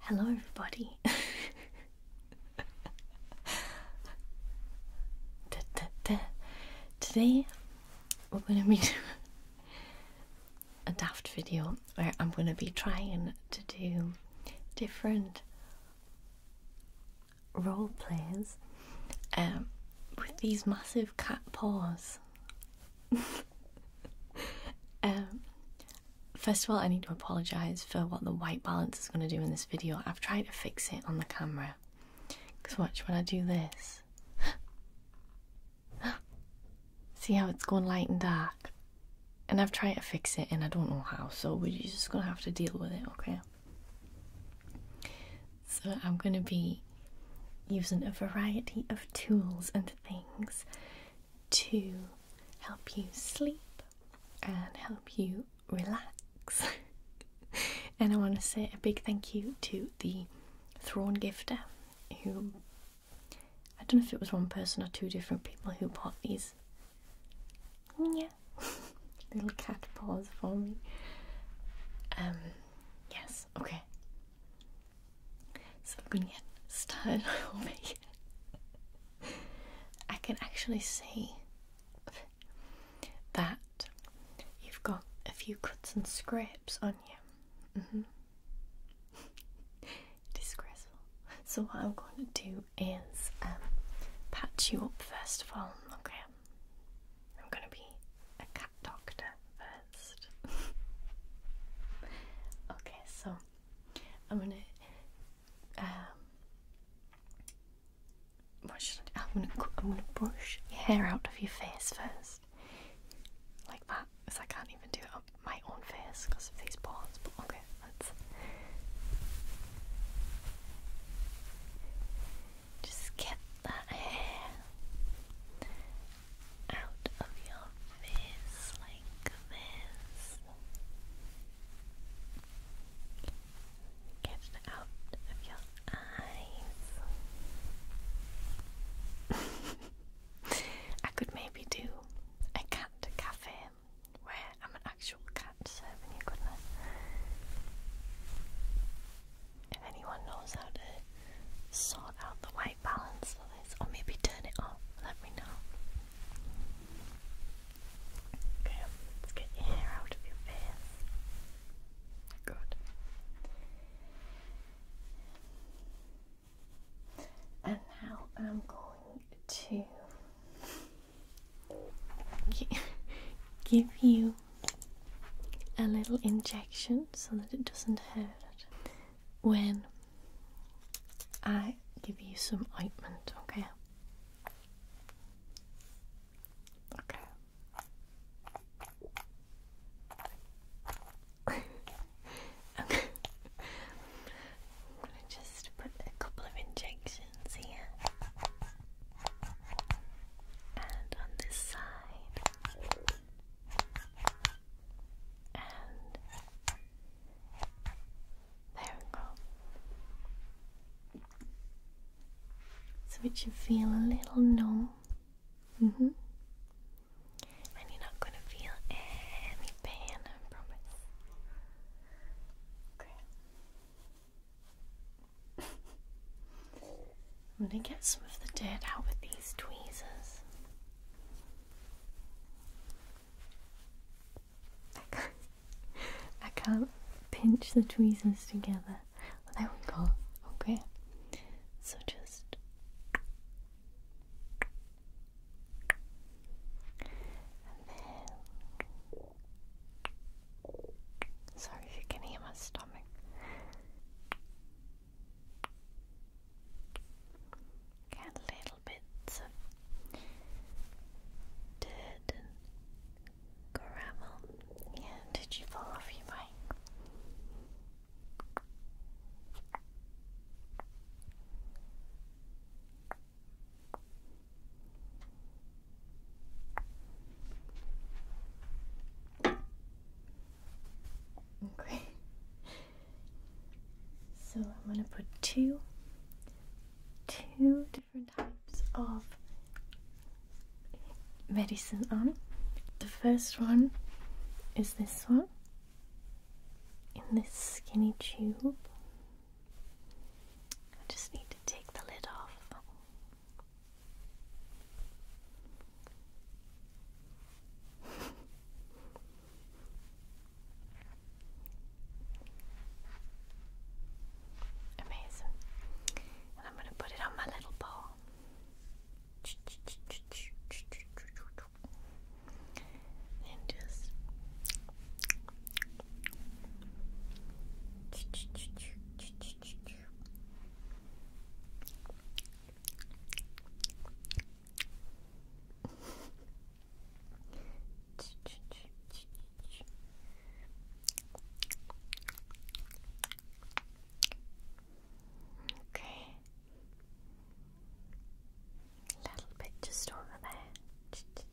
Hello, everybody. Today, we're going to be doing a daft video where I'm going to be trying to do different role plays um, with these massive cat paws. Um, first of all, I need to apologise for what the white balance is going to do in this video. I've tried to fix it on the camera. Because watch, when I do this, see how it's going light and dark? And I've tried to fix it and I don't know how, so we're just going to have to deal with it, okay? So I'm going to be using a variety of tools and things to help you sleep and help you relax. and I want to say a big thank you to the Thrawn Gifter who I don't know if it was one person or two different people who bought these little cat paws for me. Um, Yes, Okay. So I'm gonna get started I can actually see that you've got a few cuts and scrapes on you. Mm-hmm. Disgraceful. So what I'm going to do is um, patch you up first of all. Okay. I'm going to be a doctor first. okay, so I'm gonna. Um, what should I do? I'm gonna, I'm gonna brush your hair out of your face first. Like that, because I can't even do it on my own face because of these balls. But okay, let's. Just get that hair out of your face like this. Get it out of your eyes. I could maybe do a cat cafe where I'm an actual cat serving you goodness if anyone knows how to sort out the white balance of this, or maybe turn it off, let me know. Okay, let's get your out of your face. Good. And now I'm going to give you a little injection so that it doesn't hurt when I give you some ointment, okay? Okay. okay. I'm gonna just put a couple of injections here and on this side, and there we go. So it should feel a little numb. hmm And you're not gonna feel any pain, I promise. Okay. I'm gonna get some of the dirt out with these tweezers. I can't, pinch the tweezers together. there we go. Okay. So just and then Sorry you can hear my stomach. Got little bits of dirt and gravel. Yeah, did you fall off your bike? Okay. So I'm going to put two two different types of medicine on. The first one is this one in this skinny tube. I just need to take the lid off. Amazing. I'm going to put it on my little ball. And just Okay. A little bit just over there.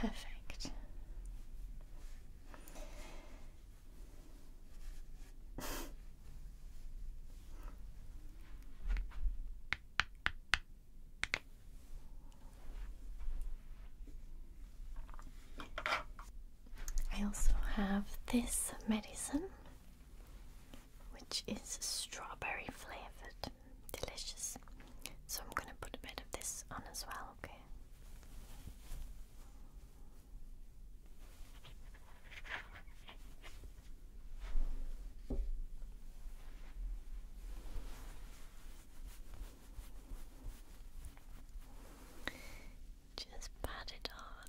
Perfect. I also have this medicine which is strawberry flavored. Delicious. So I'm going to put a bit of this on as well, okay? Just pat it on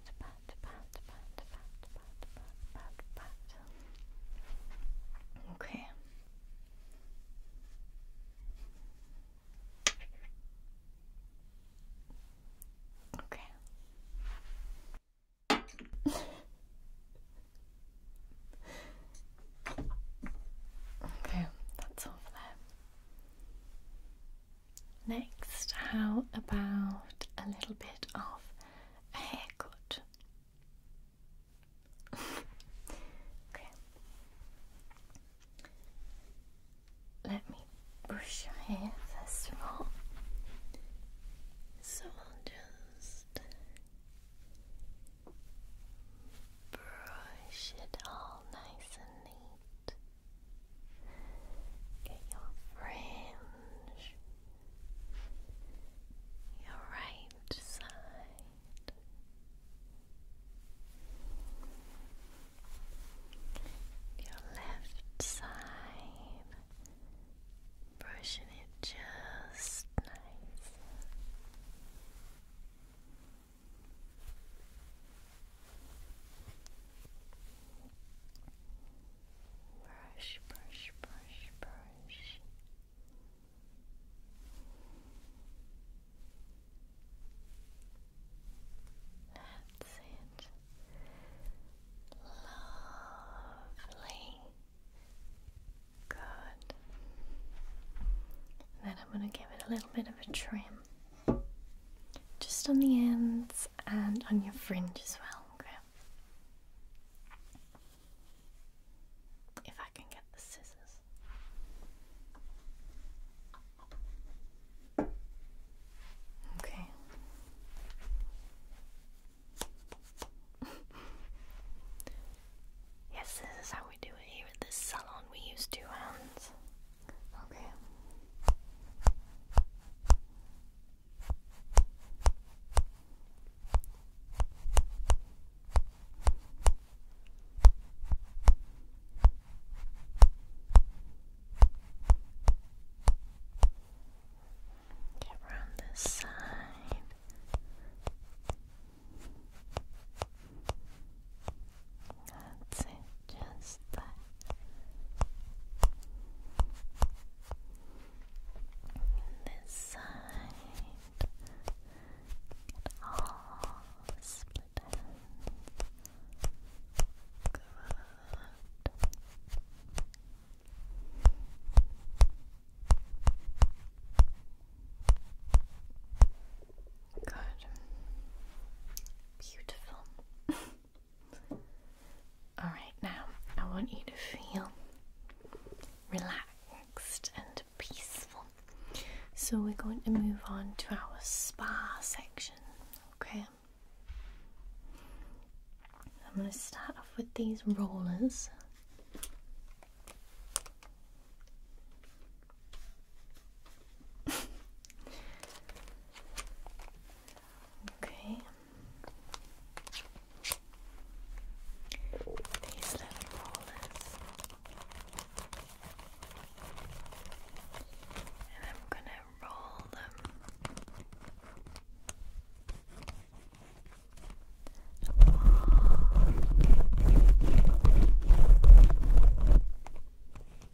pat, pat, Okay. Okay. okay, that's all for that. Next, how about a little bit of a haircut? okay. Let me brush your hair first of all. So I'll just brush it all nice and neat your fringe, your right side, your left side, brushing it just nice. Brush, brush, brush, brush. That's it. Lovely. Good. And then I'm going to give it a little bit of a trim. Just on the ends and on your fringe as well, If I can get the scissors. Okay. yes, this is how we do it here at this salon. We use two hands. Okay. Get around this side. That's it, just that. This side, all the split Good. Beautiful. Alright, now I want you to feel relaxed and peaceful. So we're going to move on to our spa section, okay? I'm going to start off with these rollers okay. These little rollers. And I'm gonna roll them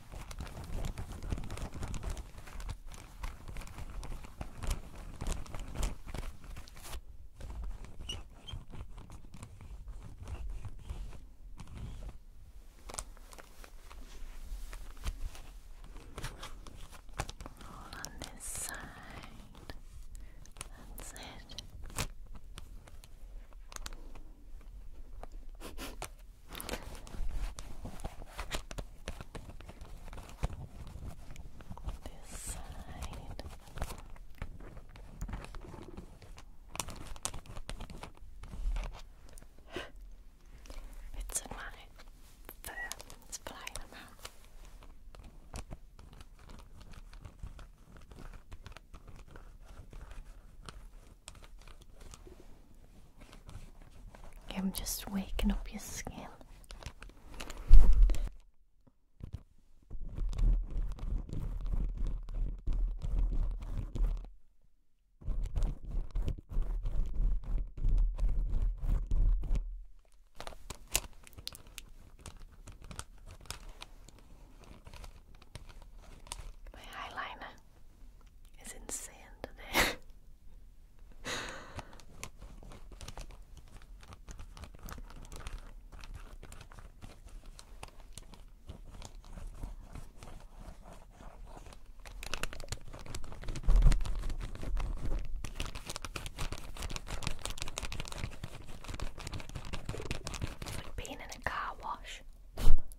All on this side. That's it. This side. it's in my fur. It's flying around. I'm just waking up your skin. My eyeliner. It's in sand today. being in a car wash.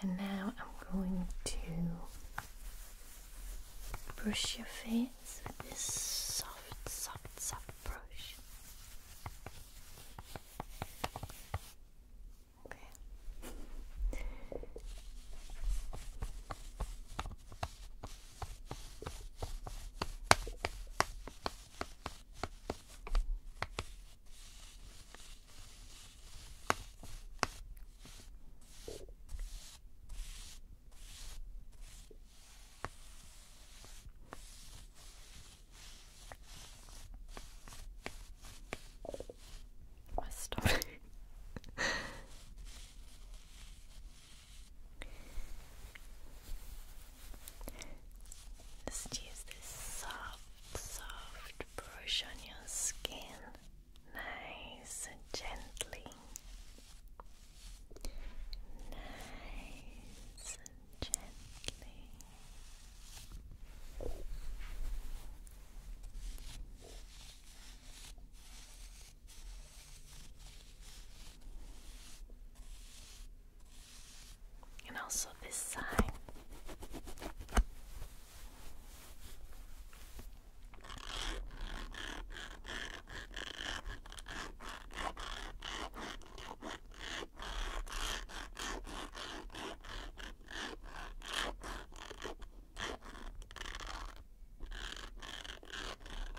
And now I'm going to brush your face with this soft, soft, soft brush. Okay. My stomach. Just use this soft, soft brush on your skin, nice and gently. Nice and gently and also this side.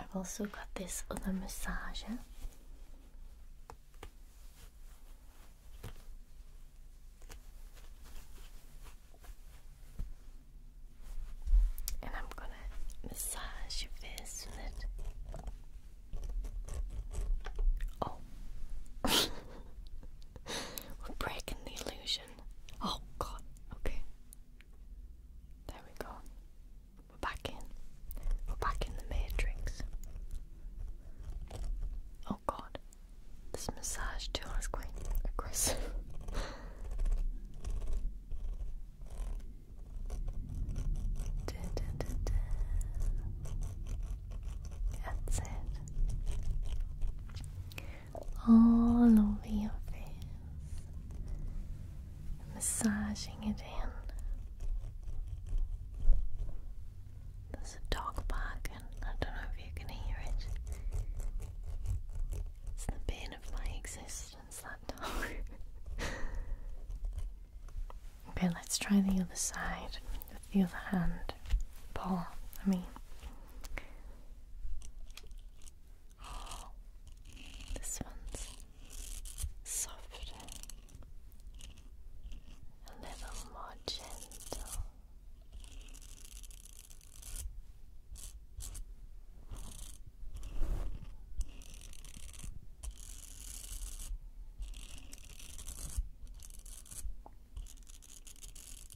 I've also got this other massager. And I'm going to massage your face with it. Oh, we're breaking the illusion. Oh god, okay. There we go. We're back in. We're back in the matrix. Oh god. This massage tool is quite aggressive. That's it all over your face, massaging it in. There's a dog barking. I don't know if you can hear it. It's the bane of my existence, that dog. okay, let's try the other side with the other hand. Paul. I mean. Oh, this one's soft, a little more gentle.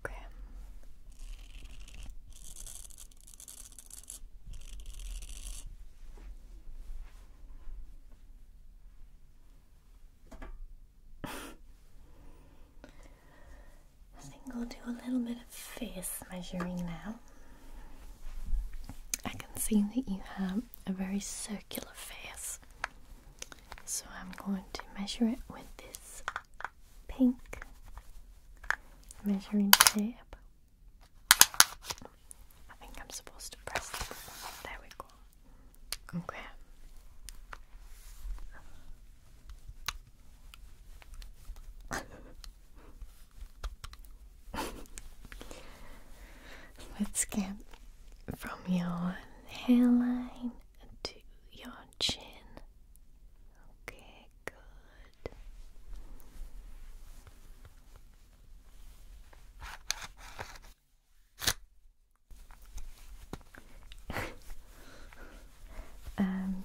Okay. I think I'll do a little bit face measuring now. I can see that you have a very circular face, so I'm going to measure it with this pink measuring tape. I think I'm supposed to press this. There we go. Okay. Let's get from your hairline to your chin. Okay, good. and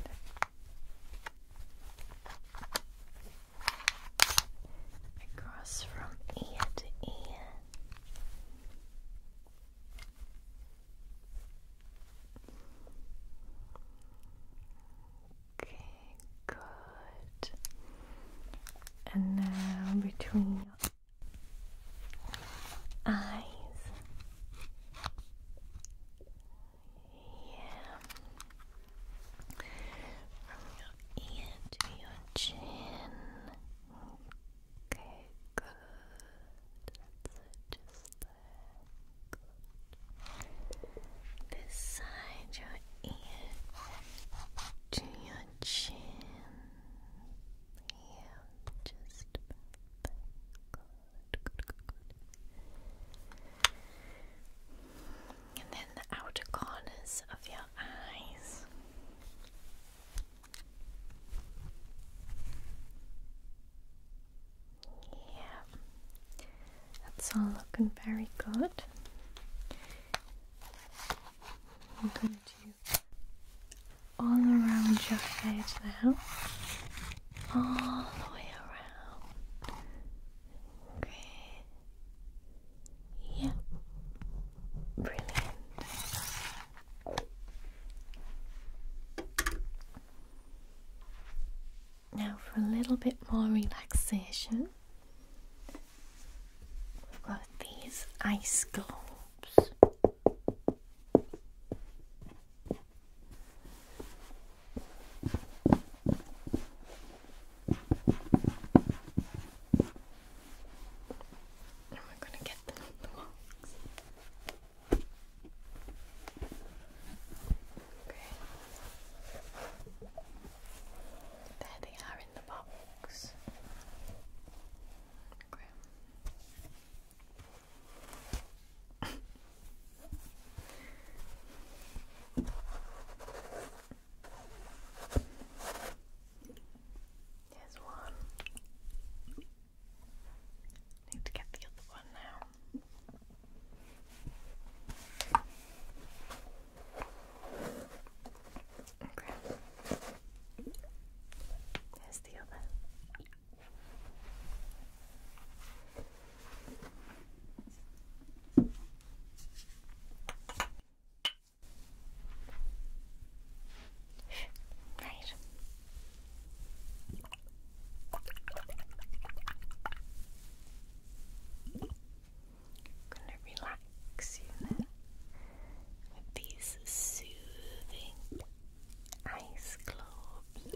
across from ear to ear. Okay, good. And now between eyes. Yeah. From your ear to your chin. Okay, good. just there. Good. your ear to your chin. Yeah, just and then the outer corners of your eyes. Yeah, that's all looking very good. I'm going to do all around your head now, all the way around. Okay. Yeah. Brilliant. Now, for a little bit more relaxation, we've got these ice globes we're going to get them on the box. There they are in the box. Here's one. Need to get the other one now. Okay. Here's the other. Right. Gonna relax you with these soothing ice globes.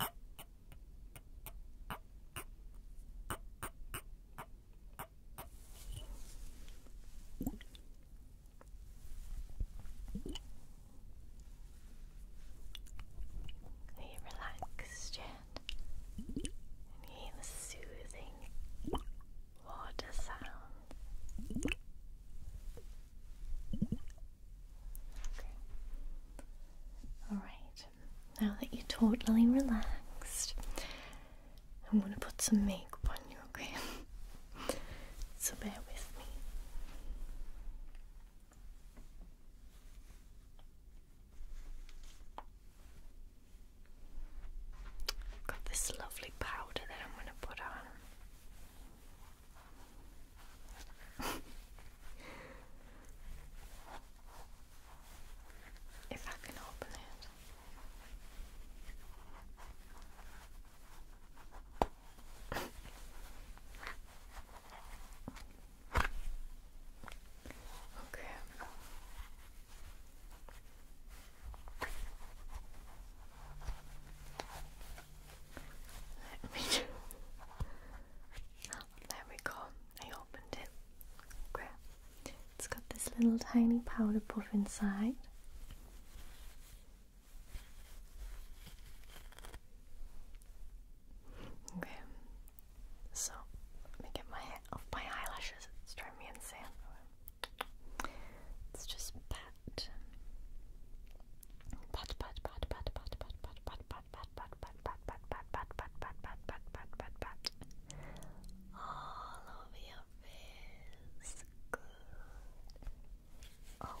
Are relaxed yet? And you the soothing water sound. Alright, now that you're totally relaxed, I'm going to put some makeup on you, okay? so bear with me. Got this lovely powder that I'm going to put on if I can open it. okay. Let me do. there we go. I opened it. Great. It's got this little tiny powder puff inside. Okay, so let me get my my eyelashes. It's driving me insane. Let's just pat. Pat, pat, pat, pat, pat, pat, pat, pat, pat pat all over your face. Oh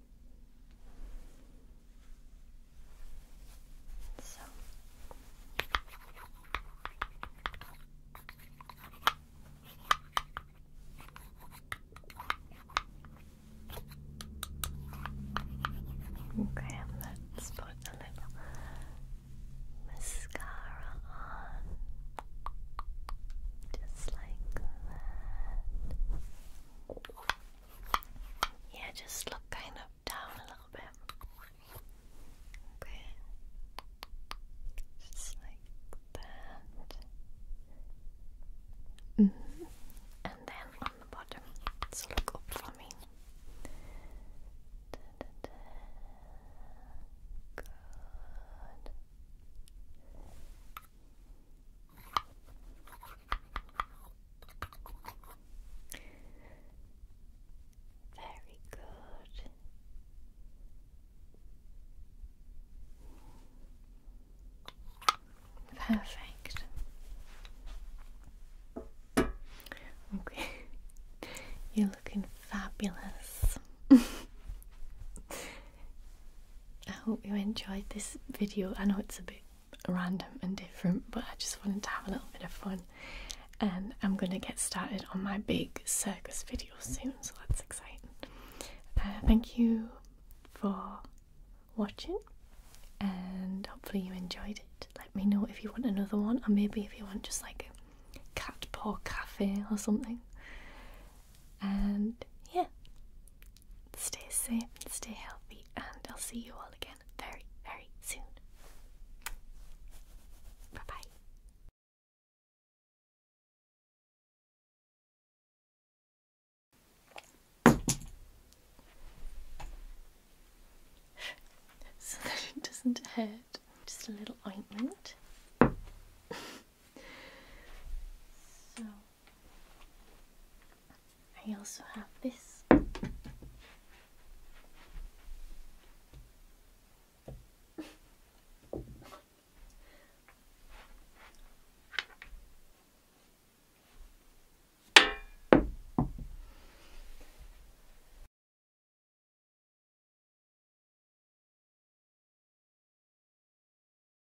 So let's put a little mascara on just like that. Yeah, just look kind of down a little bit. Okay. Just like that. Mm-hmm. And then on the bottom. So look up for me. Good. Very good. Perfect. Okay. You're looking fabulous. I hope you enjoyed this video. I know it's a bit random and different, but I just wanted to have a little bit of fun. And I'm going to get started on my big circus video soon, so that's exciting. Uh, thank you for watching, and hopefully, you enjoyed it. Let me know if you want another one, or maybe if you want just like cat paw cafe or something. And yeah, Stay safe and stay healthy, and I'll see you all again very, very soon. Bye bye. so that it doesn't hurt, just a little ointment. So I also have this.